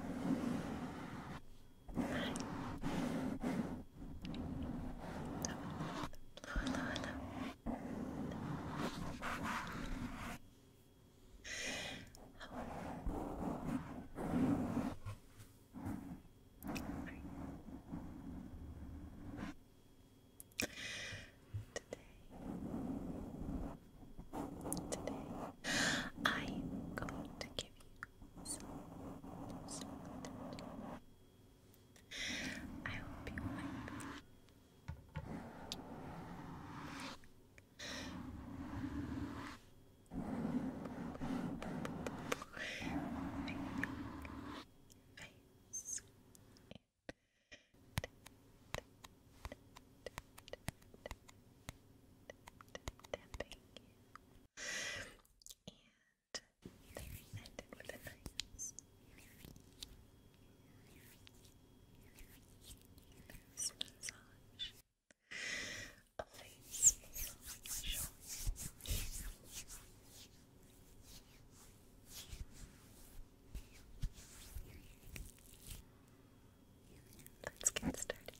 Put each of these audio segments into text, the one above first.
hello, hello. How are you? Today, Today, I am going to give you some, some I hope you like Face and there ended with a nice massage. A face massage. Thank you. Let's get started.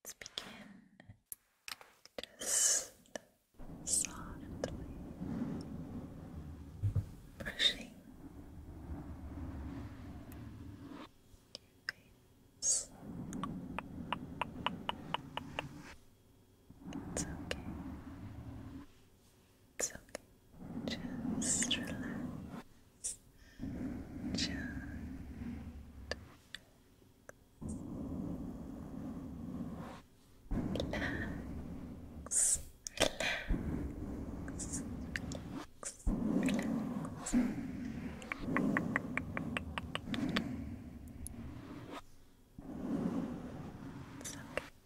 Let's begin just softly brushing your It's okay. It's okay. Just relax. Just relax. Relax. It's okay.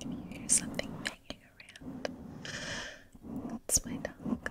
Can you hear something banging around? That's my dog.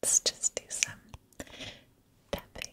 Let's just do some tapping.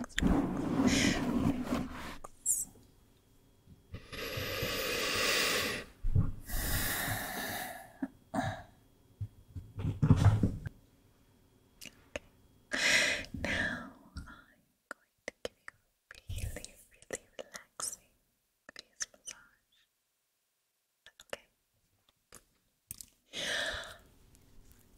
relax, Now I'm going to give you really, really relaxing face massage. Okay.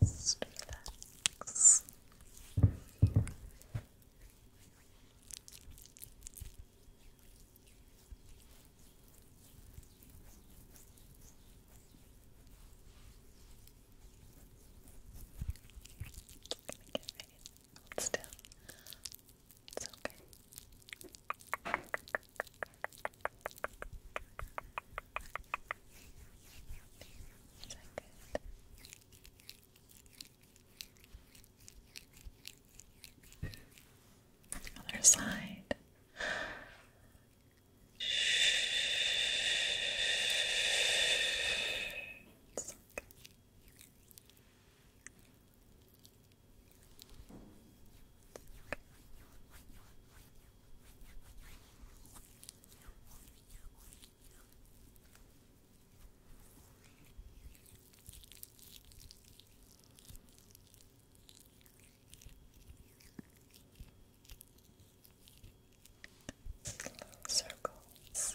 Just relax. Get ready. It's okay. Other side. It's okay. Circles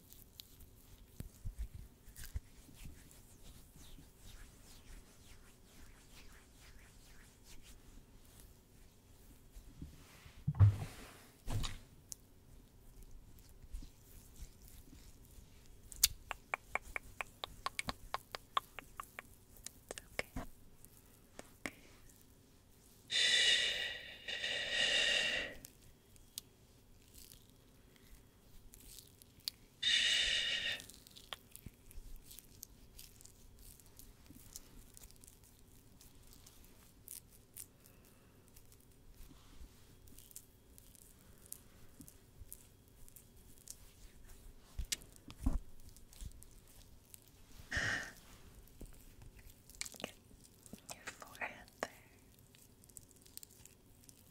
okay. Shh. Your forehead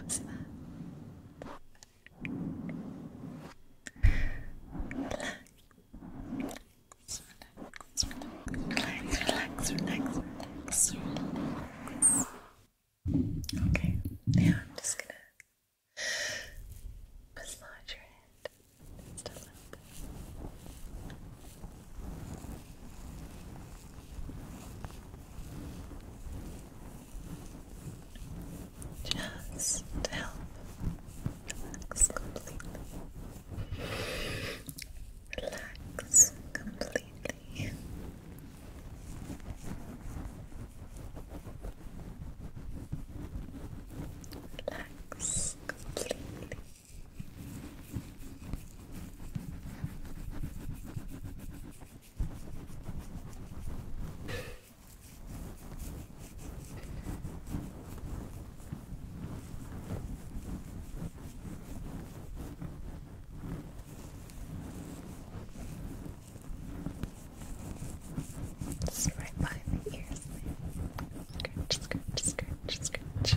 How's that? Relax, relax, relax, relax, Okay, now I'm just gonna massage your head just help relax completely. Relax completely. Relax completely. It's right behind the ears. Scratch, scratch, scratch, scratch.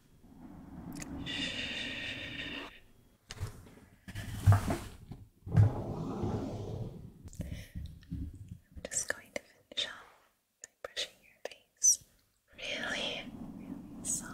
I'm just going to finish off by brushing your face really, really soft.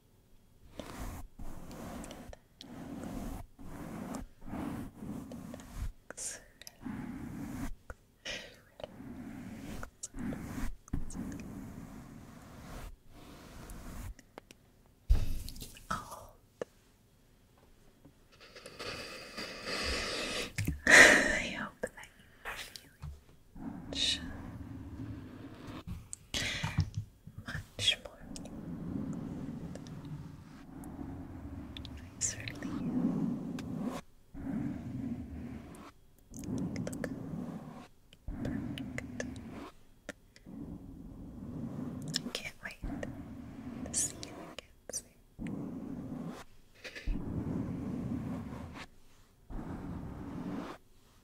Relax, I hope that you are feeling much, much more nicer Look perfect. I can't wait to see you again